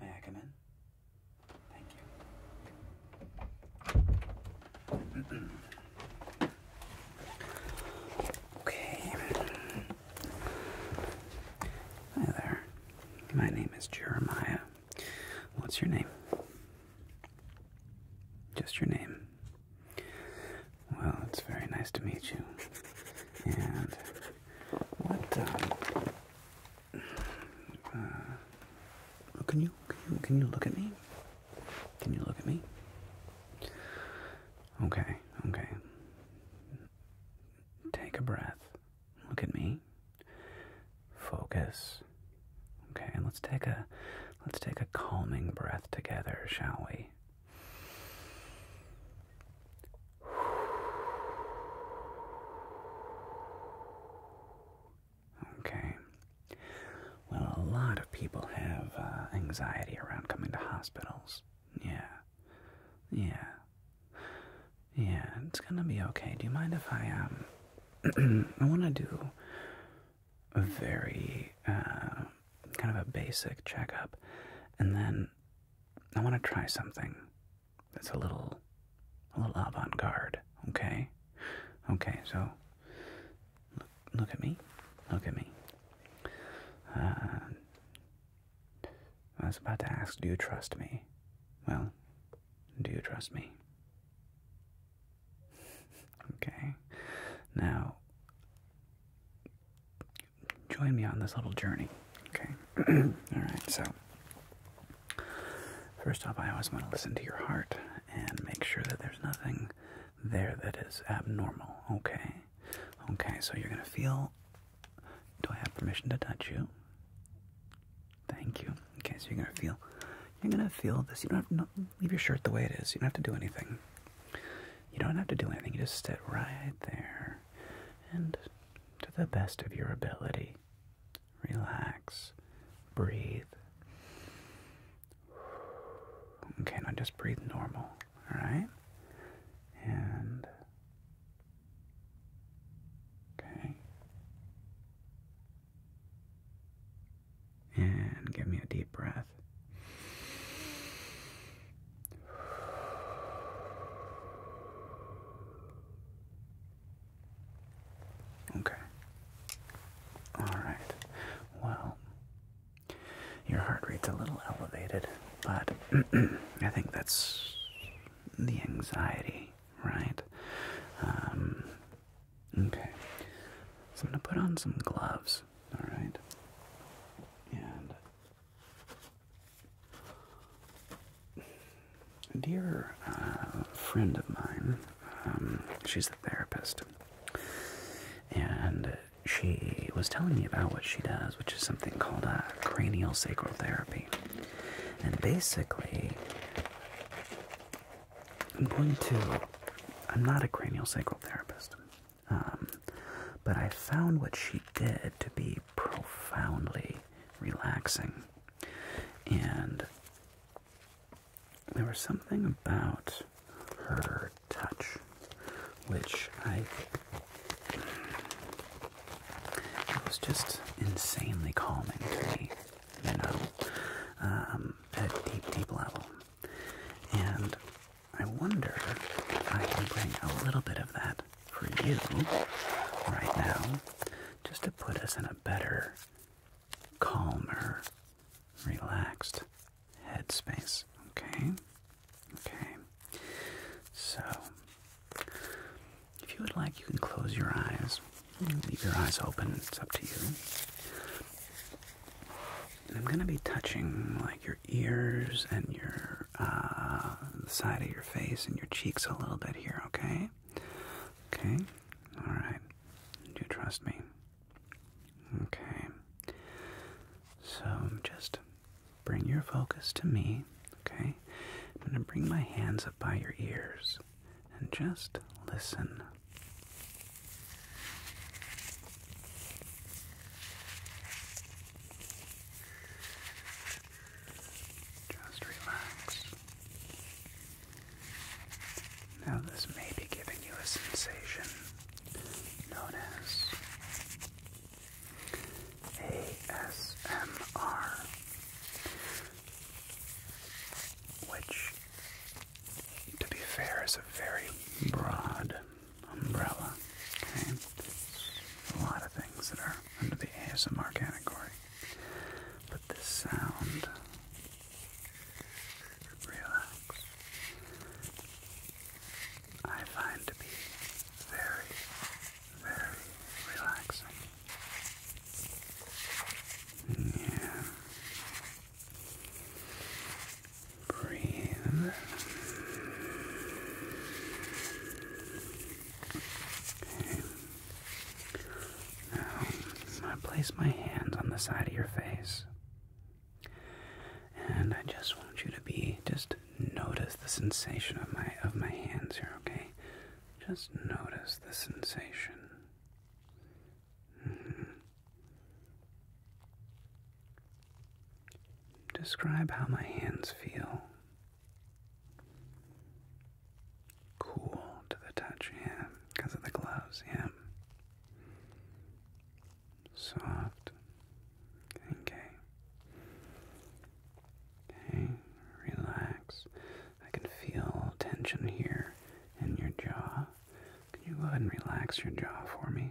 May Thank you. okay. Hi there. My name is Jeremiah. What's your name? Just your name. Well, it's very nice to meet you. And what? Um, uh, can you can you can you look at me? Can you look at me? Okay, okay. Take a breath. Look at me. Focus. Okay, and let's take a let's take a calming breath together, shall we? Okay. Well, a lot of people have uh, anxiety around coming to hospitals. Yeah. Yeah. Yeah, it's gonna be okay. Do you mind if I, um, I wanna do a very uh, kind of a basic checkup, and then I want to try something that's a little, a little avant-garde. Okay, okay. So look, look at me, look at me. Uh, I was about to ask, do you trust me? Well, do you trust me? Okay. Now, join me on this little journey. Okay. All right. So, first off, I always want to listen to your heart and make sure that there's nothing there that is abnormal. Okay. Okay. So, you're going to feel. Do I have permission to touch you? Thank you. Okay, so you're gonna feel, you're gonna feel this. You don't have to leave your shirt the way it is. You don't have to do anything. You don't have to do anything. You just sit right there, and to the best of your ability, relax, breathe. Okay, now just breathe normal. All right, and okay, and give me a deep breath. Okay. All right. Well, your heart rate's a little elevated, but I think that's the anxiety, right? Um, Okay. So I'm going to put on some gloves, all right? And dear uh, friend of mine, um, she's a therapist, and she was telling me about what she does, which is something called a uh, cranial sacral therapy. And basically, I'm going to. I'm not a cranial sacral therapist, um, but I found what she did to be profoundly relaxing. And there was something about her touch which I. It was just insanely calming to me, you know. Um, at a deep, deep level. And I wonder if I can bring a little bit of that for you right now, just to put us in a better, calmer, relaxed headspace. Okay? Okay. So, if you would like, you can close your eyes Leave your eyes open, it's up to you. I'm going to be touching like your ears and your uh, side of your face and your cheeks a little bit here, okay? Okay, all right. Do you trust me? Okay. So just bring your focus to me, okay? I'm going to bring my hands up by your ears and just listen. Just relax. Now, this may be giving you a sensation known as ASMR, which to be fair, is a very broad umbrella. Okay? A lot of things that are under the ASMR category. But this sound, relax, I find to be very, very relaxing. Yeah. Breathe. Okay. Now, i place my hands on the side of your face. And I just want you to be just notice the sensation of my of my hands here, okay? Just notice the sensation. Describe how my hands feel. Cool to the touch, yeah, because of the gloves, yeah. Soft. Okay. Okay, relax. I can feel tension here in your jaw. Can you go ahead and relax your jaw for me?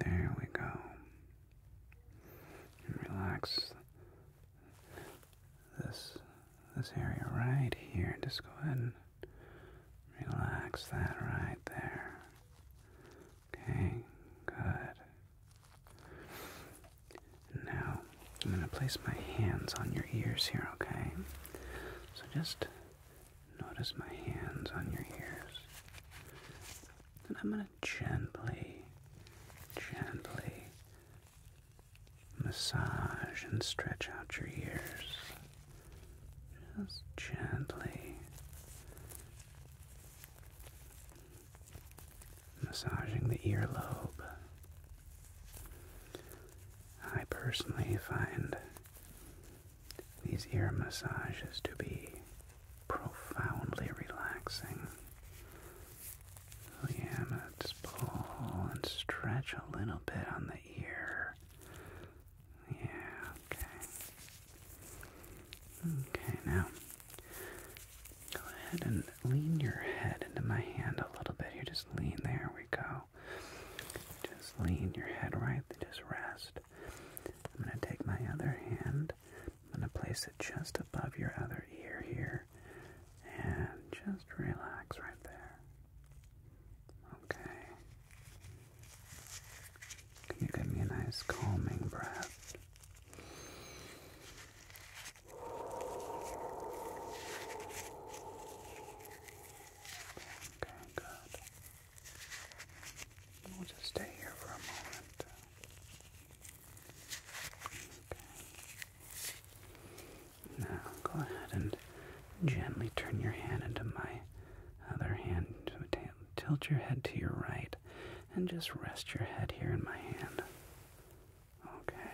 There we go. relax this this area right here. Just go ahead and relax that right there. Okay, good. Now, I'm going to place my hands on your ears here, okay? So just notice my hands on your ears. And I'm going to gently, gently massage and stretch out your ears. Just gently massaging the earlobe. I personally find these ear massages to be profoundly relaxing. So oh, yeah, pull and stretch a little bit on the ear. Yeah, okay. Okay, now Go ahead and lean your head into my hand a little bit. You just lean. There we go. Just lean your head right. Just rest. I'm going to take my other hand. I'm going to place it just above your other ear here. And just relax right there. Okay. Can you give me a nice calming breath? Okay, good. We'll just stay here for a moment. Okay. Now, go ahead and gently turn your hand into my other hand. Tilt your head to your right and just rest your head here in my hand. Okay.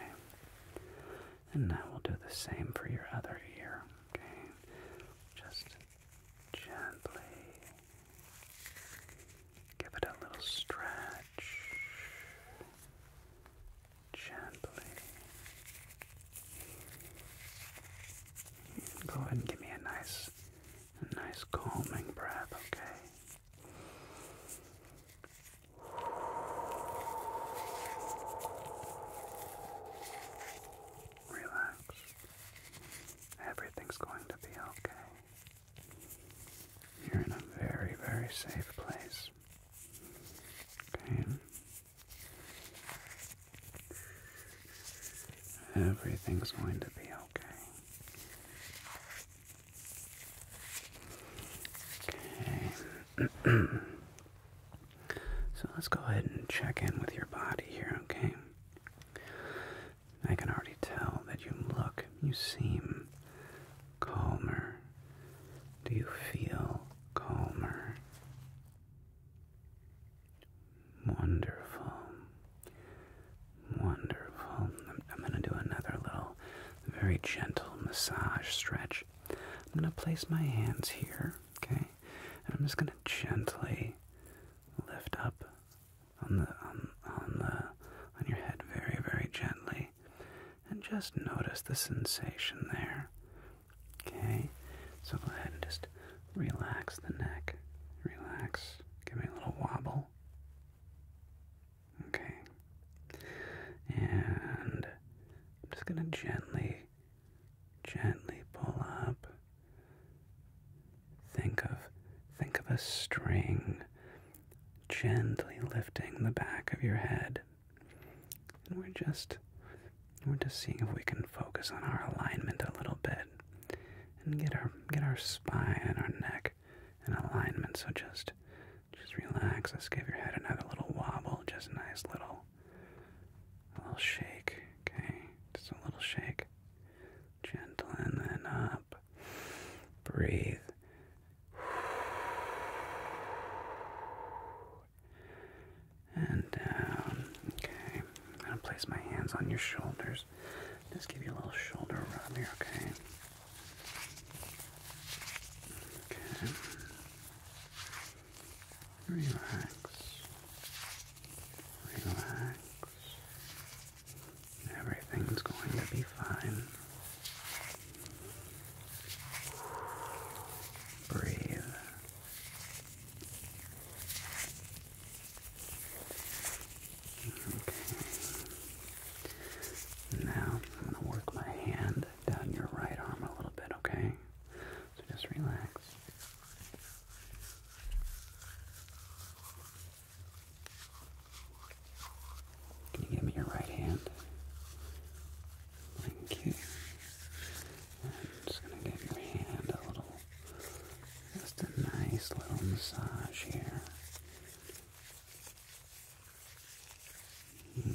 And now we'll do the same for your other ear. Okay. Just gently give it a little stretch. Gently. Go ahead and give me a nice, a nice calming breath, okay? Relax. Everything's going to be okay. You're in a very, very safe place. Okay. Everything's going to be okay. Okay. so let's go ahead and check in with your body here, okay? I can already tell that you look, you seem calmer. Do you feel calmer? Wonderful. Wonderful. I'm, going to do another little, very gentle massage stretch. I'm going to place my hands here, okay? And I'm just going to gently lift up on the on, on the on your head very very gently and just notice the sensation there. Okay? So go ahead and just relax the neck. Relax. Give me a little wobble. Okay. And I'm just going to gently, gently pull up. Think of, think of a string gently lifting the back of your head. And we're just, we're just seeing if we can focus on our alignment a little bit and get our get our spine and our neck in alignment. So just just relax. Let's give your head another little wobble, just a nice little little shake. Okay, just a little shake. Gentle and then up. Breathe. And down. Okay. I'm gonna place my hands on your shoulders. Just give you a little shoulder rub here, okay? Okay. Relax. Relax. Everything's going to be fine. Breathe. Now I'm gonna work my hand down your right arm a little bit, okay? So just relax. Can you give me your right hand? Thank you. I'm just gonna give your hand a little just a nice little massage here. Okay.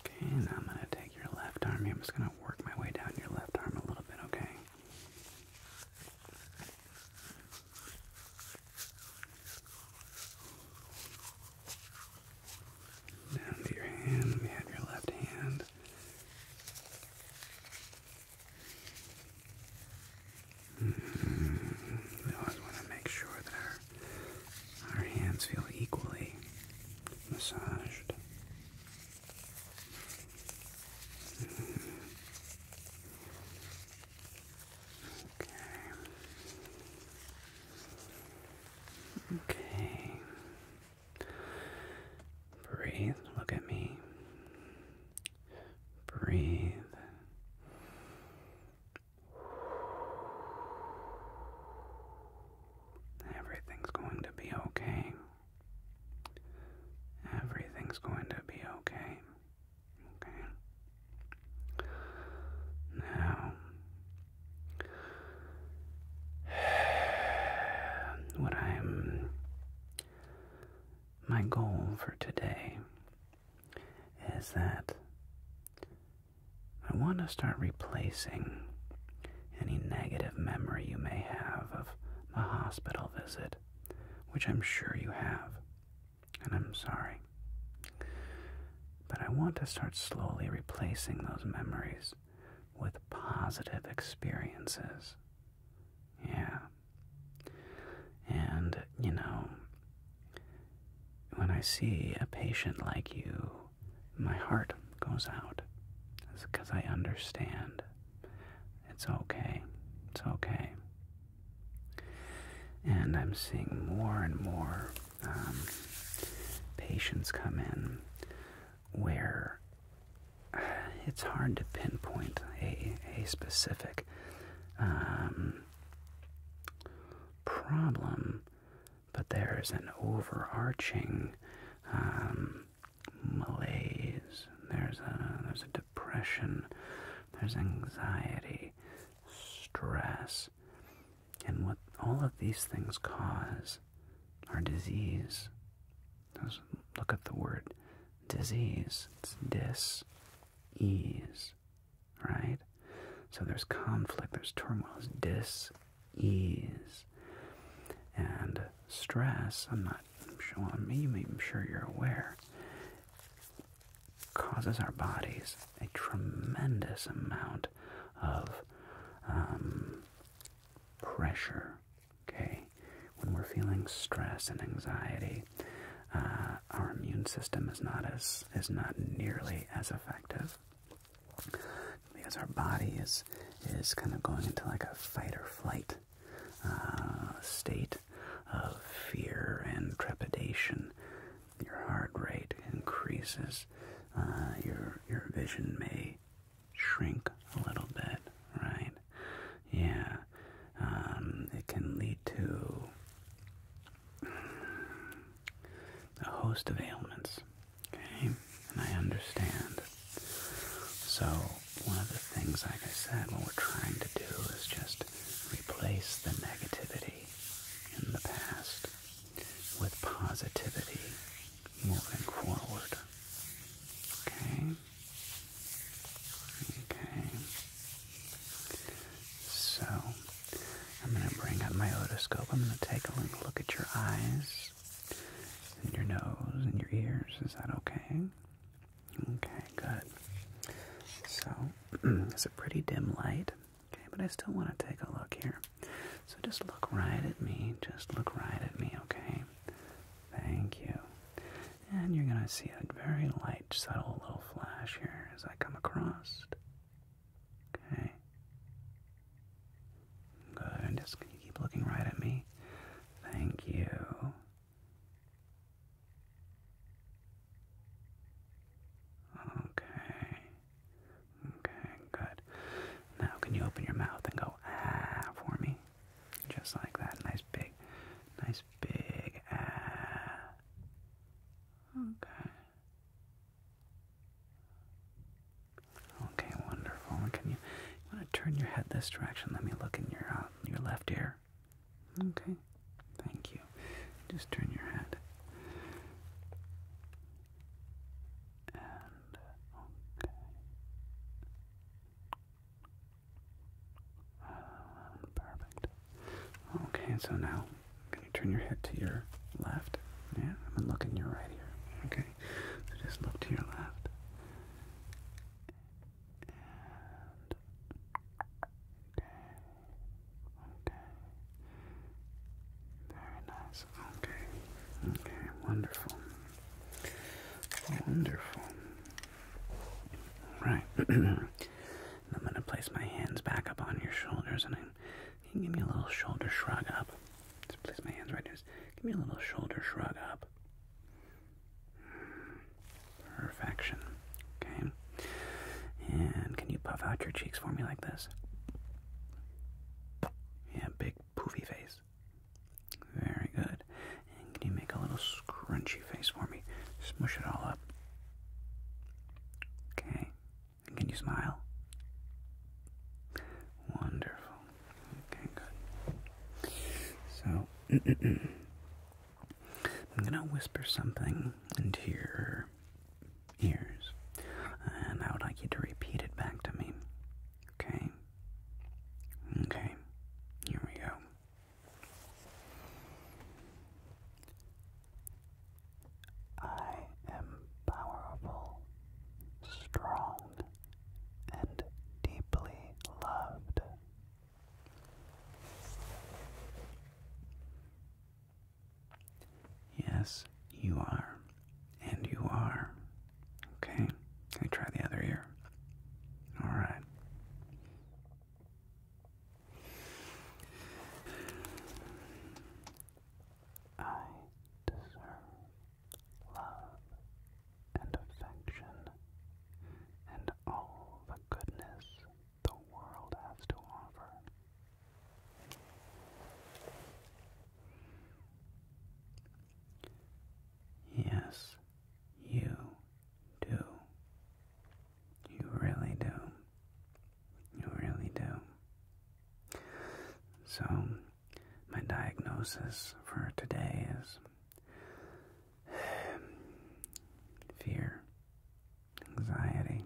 Okay, I'm going to take your left arm I'm just going to work my way down your left arm a little bit, okay? Down to your hand. We have your left hand. Mm -hmm. We always want to make sure that our, our hands feel equally massaged. Mm -hmm. Okay. Okay. Breathe. Look at me. Breathe. Everything's going to be okay. Everything's going to be okay. Okay. Now, what I'm. My goal for today is that I want to start replacing any negative memory you may have of the hospital visit, which I'm sure you have and I'm sorry. But I want to start slowly replacing those memories with positive experiences. Yeah. And, you know, when I see a patient like you, my heart goes out. because I understand. It's okay. It's okay. And I'm seeing more and more um, patients come in where it's hard to pinpoint a, a specific um, problem, but there's an overarching um, malaise. There's a there's a depression. There's anxiety stress. And what all of these things cause are disease. look at the word disease. It's dis ease, right? So there's conflict, there's turmoil, there's dis ease. And stress, I'm not sure, I'm sure you're aware, causes our bodies a tremendous amount of um, pressure. Okay, when we're feeling stress and anxiety, uh, our immune system is not as is not nearly as effective because our body is is kind of going into like a fight or flight uh, state, of fear and trepidation. Your heart rate increases. Uh, your your vision may shrink a little bit, right? Yeah, um, it can lead to a host of ailments. Okay, and I understand. So one of the things, like I said, what we're trying to do is just replace the negativity in the past with positivity moving forward. Okay? Okay. So, I'm going to bring up my otoscope. I'm going to take a little look at your eyes and your nose and your ears. Is that okay? Okay, good. So it's a pretty dim light. Okay, but I still want to take a look here. So just look right at me. Just look right at me, okay? Thank you. And you're going to see a very light, subtle little flash here as I come across. Okay. Good. And just can you keep looking right at me? Thank you. Okay. Okay, good. Now, can you open your mouth and go ah for me? Just like that. Nice big, nice big ah. Okay. Okay, wonderful. Can you, you want to turn your head this direction? Let me look in your uh, your left ear. Okay, thank you. Just turn your head. okay. Uh, perfect. Okay, so now, can you turn your head to your left? Yeah, I'm gonna look in your right here. Okay, so just look to your left okay, okay. Very nice. Okay. Okay, wonderful. Wonderful. Right. I'm gonna place my hands back up on your shoulders and I can give me a little shoulder shrug up. Just place my hands right there. Give me a little shoulder shrug up. Perfection. Okay. And can you puff out your cheeks for me like this? Yeah, big poofy face. Very good. And can you make a little scrunchy face for me? Smush it all up. Okay. can you smile? Wonderful. Okay, good. So I'm gonna whisper something into your ears, and I would like you to repeat it back to me. Okay? Okay, here we go. I am powerful, strong, and deeply loved. Yes, you are. And you are. Okay, let me try the other ear. All right. I deserve love and affection and all the goodness the world has to offer. Yes, you do. You really do. You really do. So, my diagnosis for today is fear, anxiety,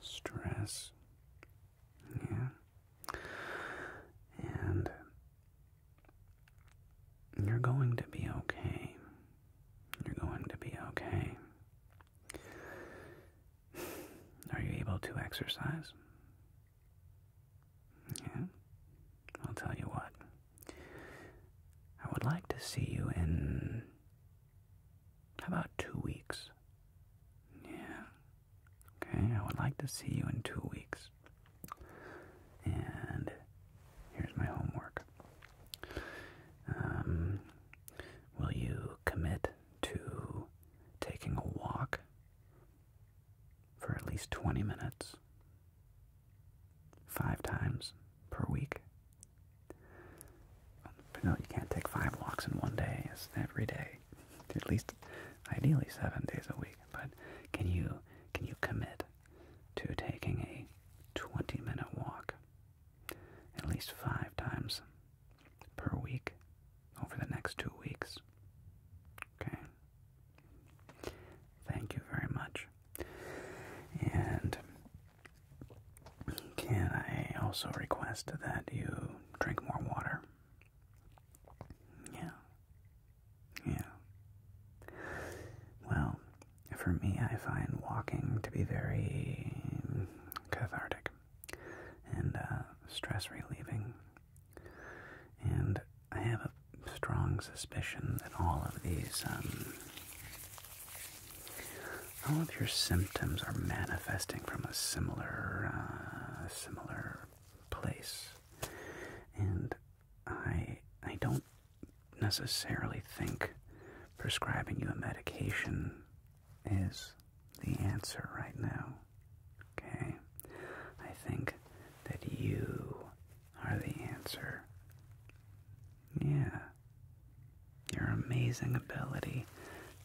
stress. Yeah. And you're going to be okay. You're going to be okay. Are you able to exercise? Yeah, I'll tell you what. I would like to see you in about two weeks. Yeah, okay, I would like to see you in two weeks. And here's my homework. Um, will you commit to taking a walk for at least 20 minutes, five times per week. Um, but No, you can't take five walks in one day, it's every day. At least ideally seven days a week. But can you can you commit to taking a 20 minute walk at least five times per week over the next two weeks? Okay. Thank you very much. And can I also request that you drink more water? Yeah. Yeah. Well, for me, I find walking to be very cathartic and uh, stress relieving. And I have a strong suspicion that all of these, um, all of your symptoms are manifesting from a similar, uh, similar place, and I, I don't necessarily think prescribing you a medication is the answer right now. Okay, I think that you are the answer. Yeah. Your amazing ability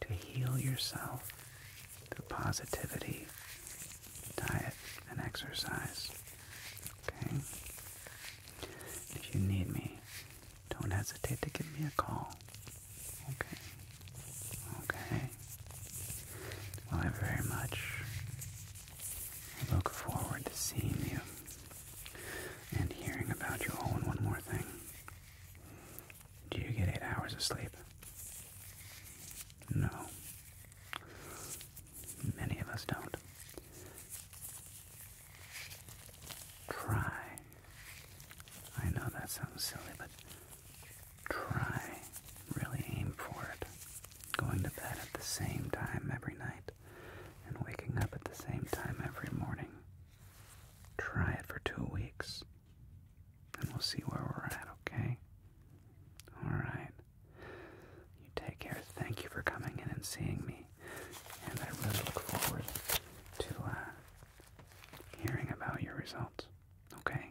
to heal yourself through positivity, diet, and exercise. Okay? If you need me, don't hesitate to give me a call. Okay? Okay? Well, I very much I look forward to seeing you and hearing about you. Oh, and one more thing. Do you get eight hours of sleep? No. Many of us don't. Try. I know that sounds silly, but try, really aim for it. Going to bed at the same time every night and waking up at the same time every morning. Try it for two weeks and we'll see where we're at, okay? Alright. You take care. Thank you for coming in and seeing me. And I really look forward to uh, hearing about your results, okay?